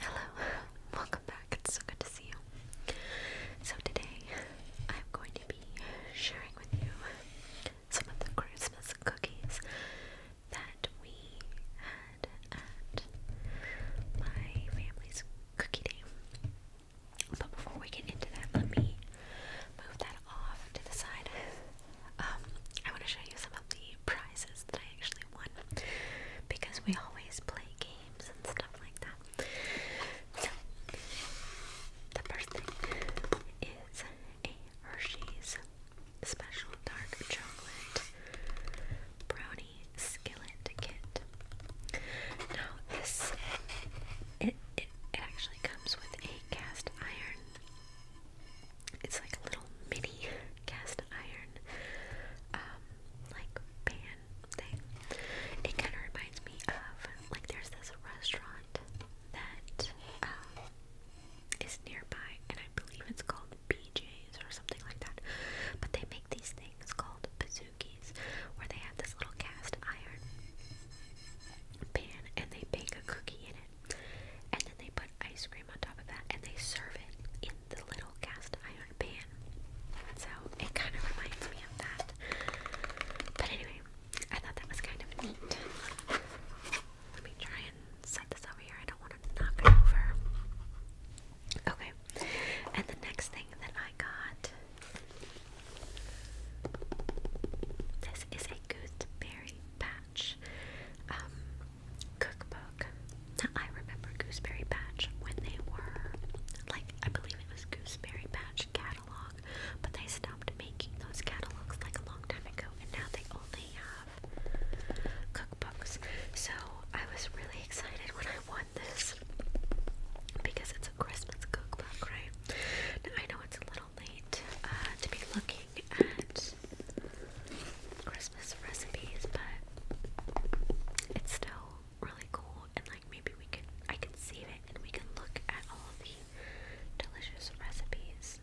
Hello, welcome back. It's so good to see you. So, today I'm going to be sharing with you some of the Christmas cookies that we had at my family's cookie day. But before we get into that, let me move that off to the side. Um, I want to show you some of the prizes that I actually won because we always play games and stuff like that. So, the first thing is a Hershey's Special Dark Chocolate Brownie Skillet Kit. Now, this it, it, it actually comes with a cast iron it's like a little mini cast iron, um, like pan thing. It kind of reminds me of like there's this restaurant that um, nearby, and I believe it's called BJ's or something like that. But they make these things called bazookies, where they have this little cast iron pan and they bake a cookie in it. And then they put ice cream on top of that and they serve it in the little cast iron pan. So it kind of reminds me of that. But anyway, I thought that was kind of neat. Let me try and set this over here. I don't want to knock it over. Okay, and the next thing that I got this is a gooseberry pie. Patch um, cookbook. Now, I remember Gooseberry Patch when they were, like, I believe it was Gooseberry Patch catalog, but they stopped making those catalogs like a long time ago, and now they only have cookbooks. So, I was really excited when I won this because it's a Christmas cookbook, right? Now, I know it's a little late uh, to be looking at Christmas recipes, but it's still really cool. And like maybe we can, I can save it and we can look at all the delicious recipes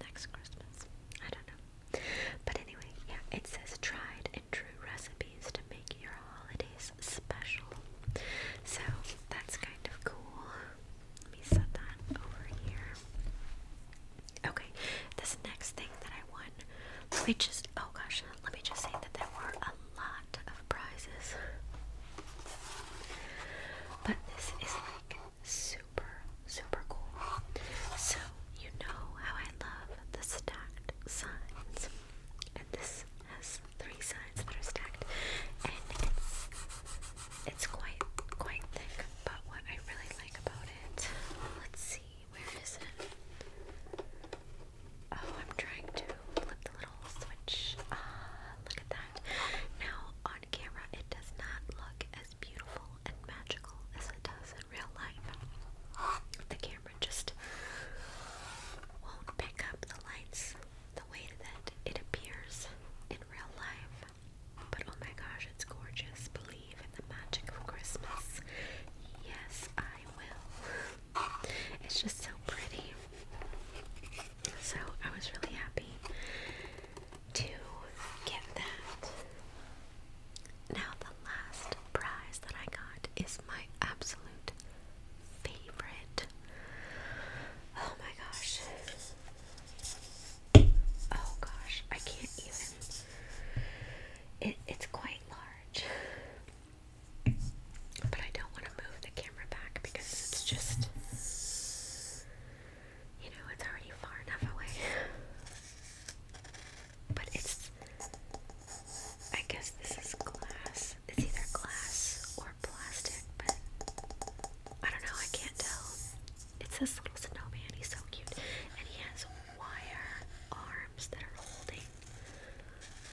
next Christmas. I don't know, but anyway, yeah, it says tried and true recipes to make your holidays special. So that's kind of cool. Let me set that over here. Okay, this next thing that I won, let just, oh gosh, let me just say that there were a lot of prizes. But this is like super, super cool. So, you know how I love the stacked signs. And this has three signs that are stacked. And it's it's quite quite thick, but what I really like about it, let's see, where is it? Oh, I'm trying to flip the little switch. Ah, look at that. Now on camera, it does not look as beautiful and magical as it does in real life. The camera just won't pick up the lights the way that it appears in real life. But oh my gosh, it's gorgeous. Believe in the magic of Christmas. Yes, I will. It's just so pretty. So I was really happy to get that. Now, the last prize that I got is my absolute favorite. Oh my gosh. Oh gosh, I can't even. it's quite large. But I don't want to move the camera back because it's just. You know, it's already far enough away. But it's. I guess this is glass. It's either glass or plastic, but I don't know, I can't tell. It's this little snowman, he's so cute. And he has wire arms that are holding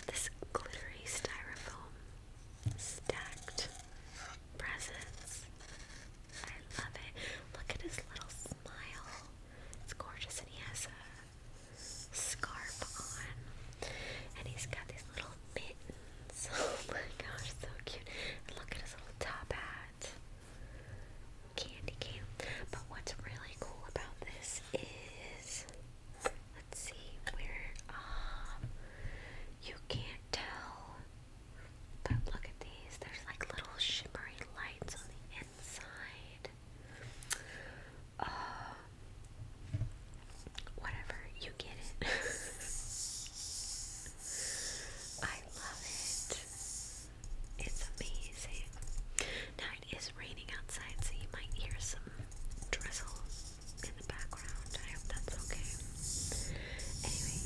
this glittery styrofoam stacked presents. I love it. Look at his little smile. It's gorgeous, and he has a scarf on. And he's got these little mittens. oh my gosh, so cute. look at his little top hat. Candy cane. But what's really cool about this is, let's see, where, um, you can't tell. But look at these. There's like little shimmery lights on the inside. Uh, whatever, you get it. I love it. It's amazing. Now it is raining outside, so you might hear some drizzle in the background. I hope that's okay. Anyway,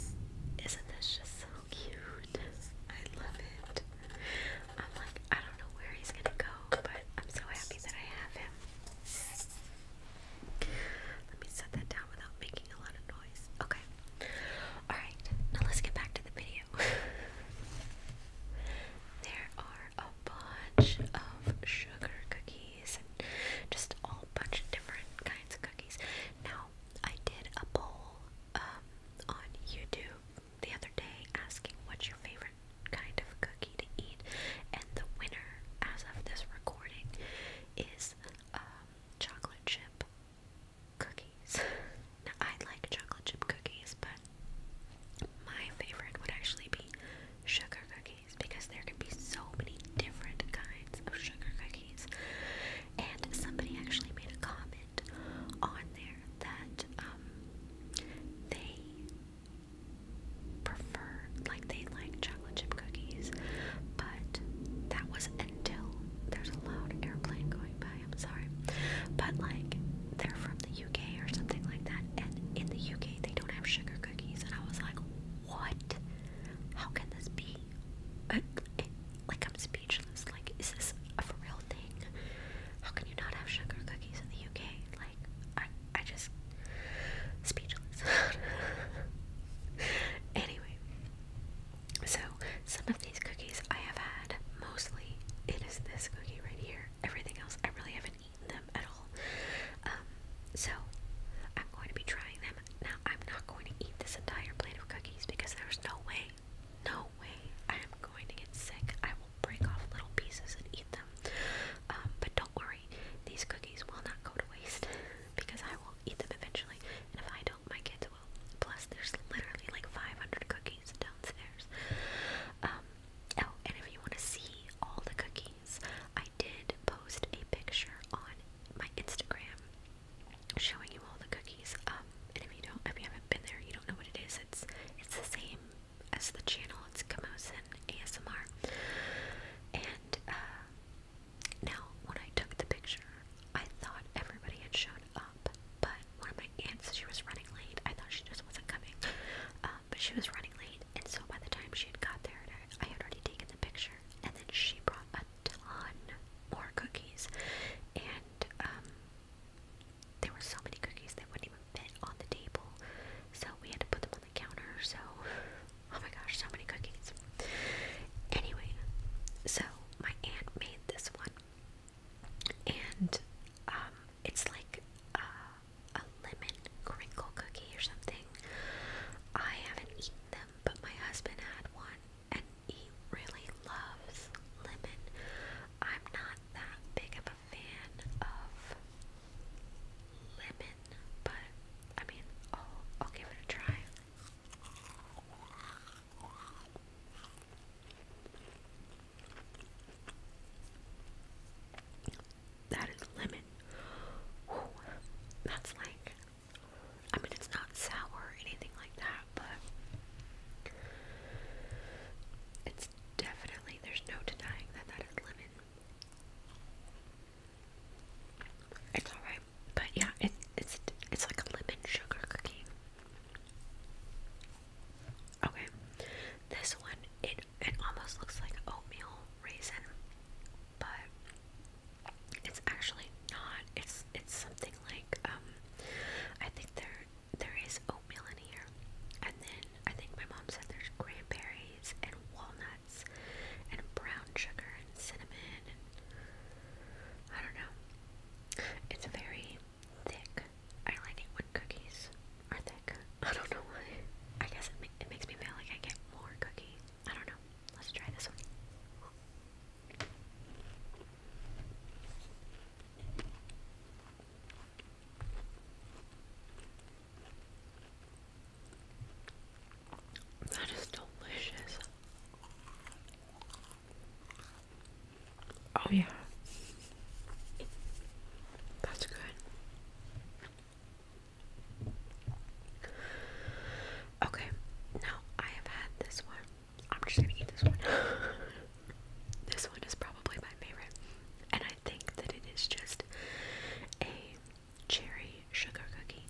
isn't this just so cute? I love it. I'm like, I don't know where he's gonna go, but I'm so happy that I have him. Let me set that down without making a lot of noise. Okay. Alright, now let's get back to the video. there are a bunch of sugar cookies just a bunch of different kinds of cookies. Now, I did a poll um, on YouTube the other day asking what's your favorite kind of cookie to eat, and the winner, as of this recording, is um, chocolate chip cookies. I like chocolate chip cookies, but my favorite would actually be sugar cookies because there can be so many different kinds of sugar cookies. And somebody actually made a comment on there that um, they prefer like they liked chocolate chip cookies, but that was until there's a loud airplane going by. I'm sorry, but like they're from the UK or something like that, and in the UK they don't have sugar cookies. And I was like, what? How can this be? Uh, like I'm speechless. Like, is this a real thing? How can you not have sugar cookies in the UK? Like, I I just speechless. anyway, so, some of these cookies I have had, mostly it is this cookie right here. Everything else, I really haven't eaten them at all. Um, so, I'm going to be trying them. Now, I'm not going to eat this entire plate of cookies because there's no way, no way I am going to get sick. I will break off little pieces and eat them. Um, but don't worry, these cookies will not go to waste. because I will eat them eventually, and if I don't, my kids will. Plus, there's literally like 500 cookies downstairs. Um, oh, and if you want to see all the cookies, I did post a picture on my Instagram showing you all the cookies. Um, and if you don't, if you haven't been there, you don't know what it is. It's it's the same as the channel. It's Kamosin ASMR, and uh, now, when I took the picture, I thought everybody had shown up, but one of my aunts, she was running late. I thought she just wasn't coming, uh, but she was running late, and so by the time she had got there, I had already taken the picture, and then she brought a ton more cookies, and um, there were so many cookies they wouldn't even fit on the table, so we had to put them on the counter. So Oh my gosh, so many cookies. Anyway, so my aunt made this one, and um, it's like uh, a lemon crinkle cookie or something. I haven't eaten them, but my husband had one, and he really loves lemon. I'm not that big of a fan of lemon, but I mean, I'll, I'll give it a try. That is lemon. that's like, I mean, it's not sour or anything like that, but it's definitely, there's no denying that that is lemon. It's alright, but yeah, it, it's it's like a lemon sugar cookie. Okay, this one it it almost looks like oatmeal raisin, but it's actually not. It's it's something like um, I think there there is oatmeal in here, and then I think my mom said there's cranberries and walnuts and brown sugar and cinnamon. I don't know. It's very thick. I like it when cookies are thick. I don't know why. I guess it, ma it makes me feel like I get more cookies. I don't know. Let's try this one. That is delicious. Oh, yeah. That's good. Okay, now I have had this one. I'm just gonna eat this one. this one is probably my favorite. And I think that it is just a cherry sugar cookie.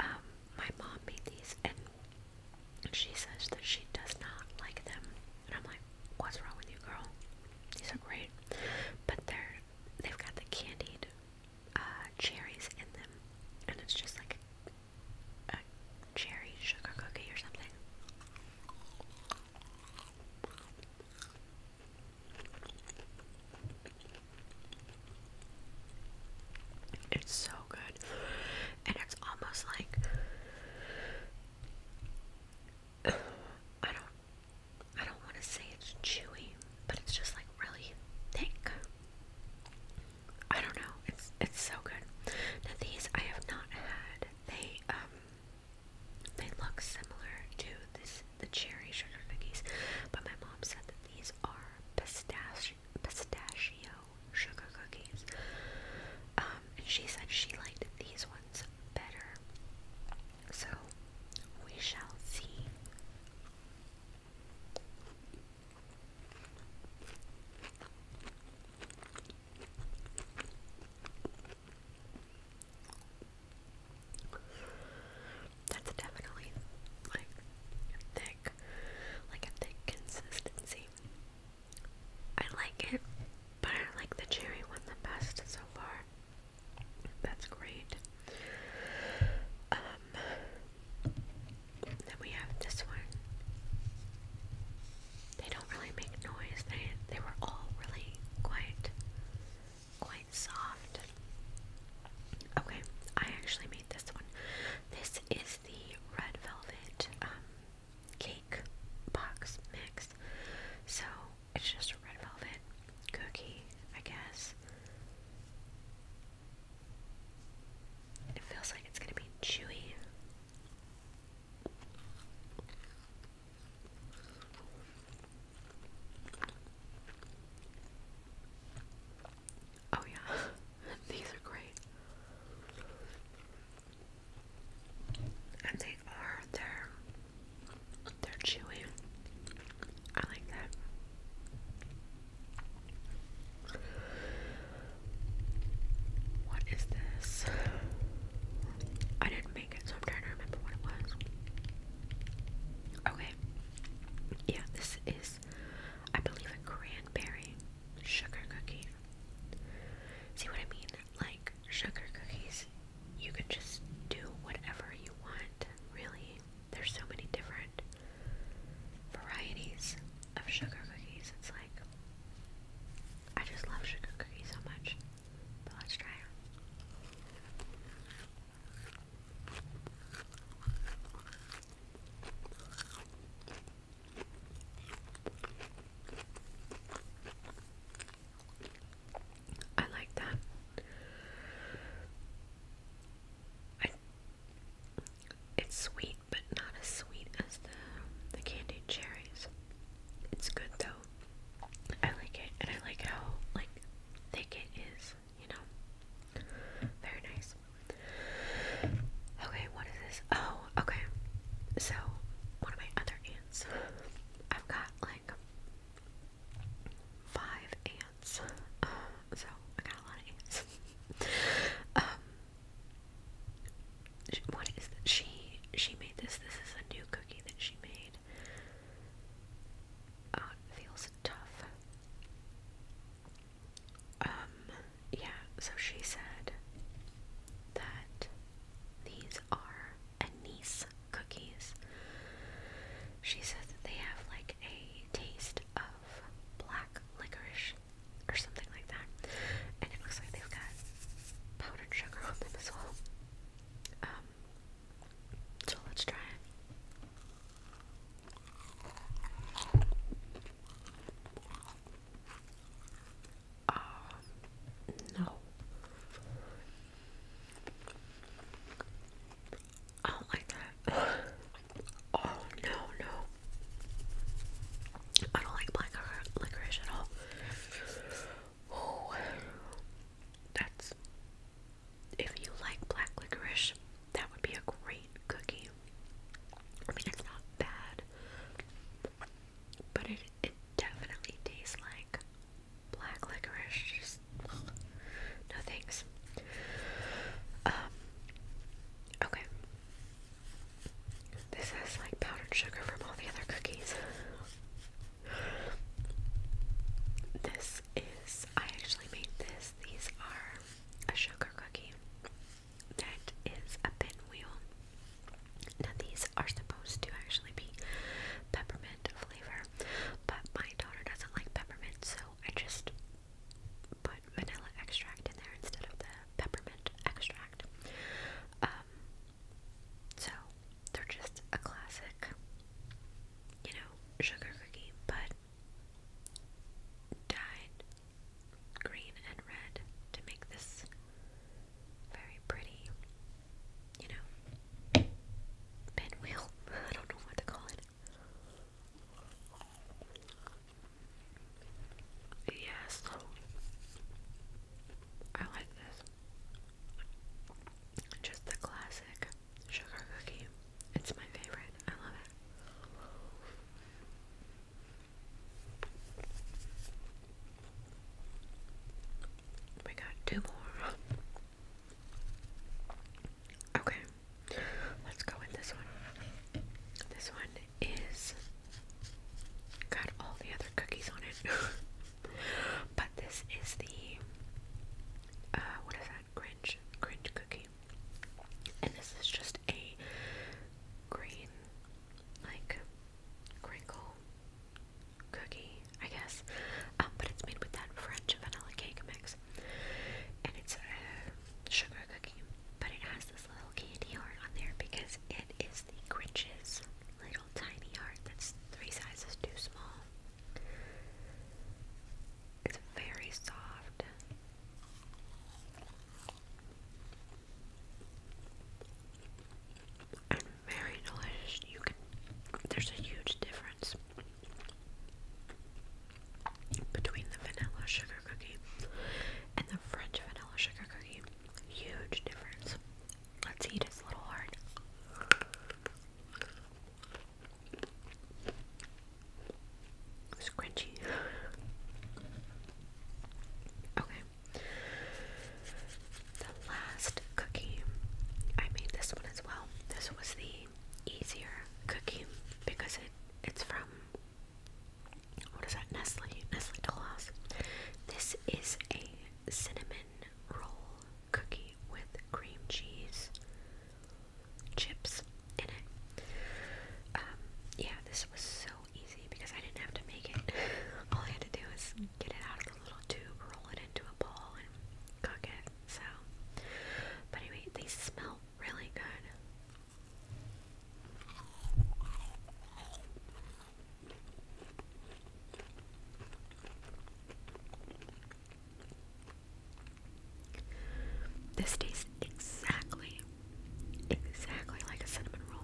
Um, my mom made these and she says that she does not like them. And I'm like, what's wrong with you, girl? These are great. But they're, they've got the candied uh, cherries in them. And it's just like a cherry sugar cookie or something. It's so good. And it's almost like I don't I don't want to say it's chewy, but it's just like really thick. I don't know. It's it's so good. Now these I have not had. They um they look similar to this the cherry sugar cookies, but my mom said that these are pistachio, pistachio sugar cookies. Um, and she said she liked these ones better. So we shall see. That's definitely like thick, like a thick consistency. I like it, but I like the cherry one the best so far. That's great. Um, then we have this one. They don't really make noise. They they were all really quite quite soft. Okay, I actually made this one. This is the red velvet um, cake box mix. So it's just a red velvet cookie, I guess. It feels like it's gonna be chewy. Oh, yeah, these are great. And they are, they're, they're chewy. I like that. What is this? I didn't make it, so I'm trying to remember what it was. Okay. Yeah, this is I believe, a cranberry sugar cookie. See what I mean? Like, sugar cookies, you can just do whatever you want, really. There's so many different varieties of sugar cookies. It's like, I just love sugar cookies so much. But let's try I like that. it's sweet, but not as sweet as the the candied cherries. It's good though. I like it, and I like how like thick it is you know. Very nice. Okay, what is this? Oh, okay. So, one of my other ants. I've got like five ants. Uh, so, I got a lot of ants. um, what is this? She, she made this. This is a new cookie that she made. Uh, feels tough. Um, yeah, so she said that these are anise cookies. She says that they have like a taste of black licorice or something like that. And it looks like they've got powdered sugar on them as well. Um, so let's try it. Uh, no. I don't like that. oh no, no. I don't like black licorice at all. Oh, that's if you like black licorice, that would be a great cookie. I mean, it's not bad, but it it definitely tastes like black licorice. Just no thanks. Um. Okay. This has like powdered sugar from all the other cookies. This is, I actually made this. These are a sugar cookie that is a pinwheel. Now, these are supposed to actually be peppermint flavor, but my daughter doesn't like peppermint, so I just put vanilla extract in there instead of the peppermint extract. Um, so they're just a classic, you know, sugar cookie, but dyed green and red to make this very pretty, you know, pinwheel. I don't know what to call it. Yes, I like this. Just the classic sugar cookie. It's my favorite. I love it. We got two more. Okay, let's go with this one. This one is got all the other cookies on it, but this is the uh, what is that? Grinch, Grinch cookie. And this is just a green, like, crinkle cookie, I guess. Um, but it's made with that French vanilla cake mix. And it's a sugar cookie. But it has this little candy heart on there because it is the Grinch's little tiny heart that's three sizes too small. It's very soft. And very delicious. You can there's a huge difference between the vanilla sugar cookie and the French vanilla sugar cookie. Huge difference. Let's eat his little heart. Scrunchy. okay. The last cookie, I made this one as well. This was the easier cookie because it it's from what is that? Nestle, Nestle Dollhouse. This is a cinnamon roll cookie with cream cheese chips in it. Um, yeah, this was so easy because I didn't have to make it. All I had to do was get it out of the little tube, roll it into a ball, and cook it. So, but anyway, they smell really good. This tastes exactly, exactly like a cinnamon roll.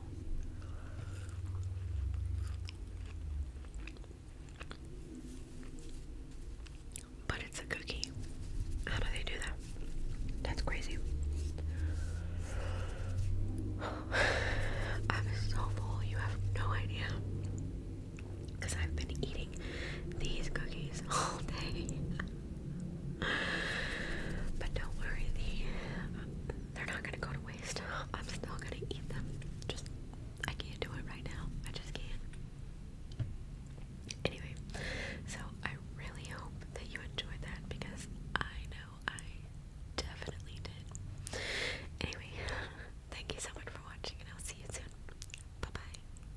But it's a cookie. How do they do that? That's crazy. I'm so full, you have no idea. Because I've been eating these cookies all day. but don't worry, the, um, they're not gonna go to waste. I'm still gonna eat them. Just I can't do it right now. I just can't. Anyway, so I really hope that you enjoyed that because I know I definitely did. Anyway, thank you so much for watching, and I'll see you soon. Bye bye.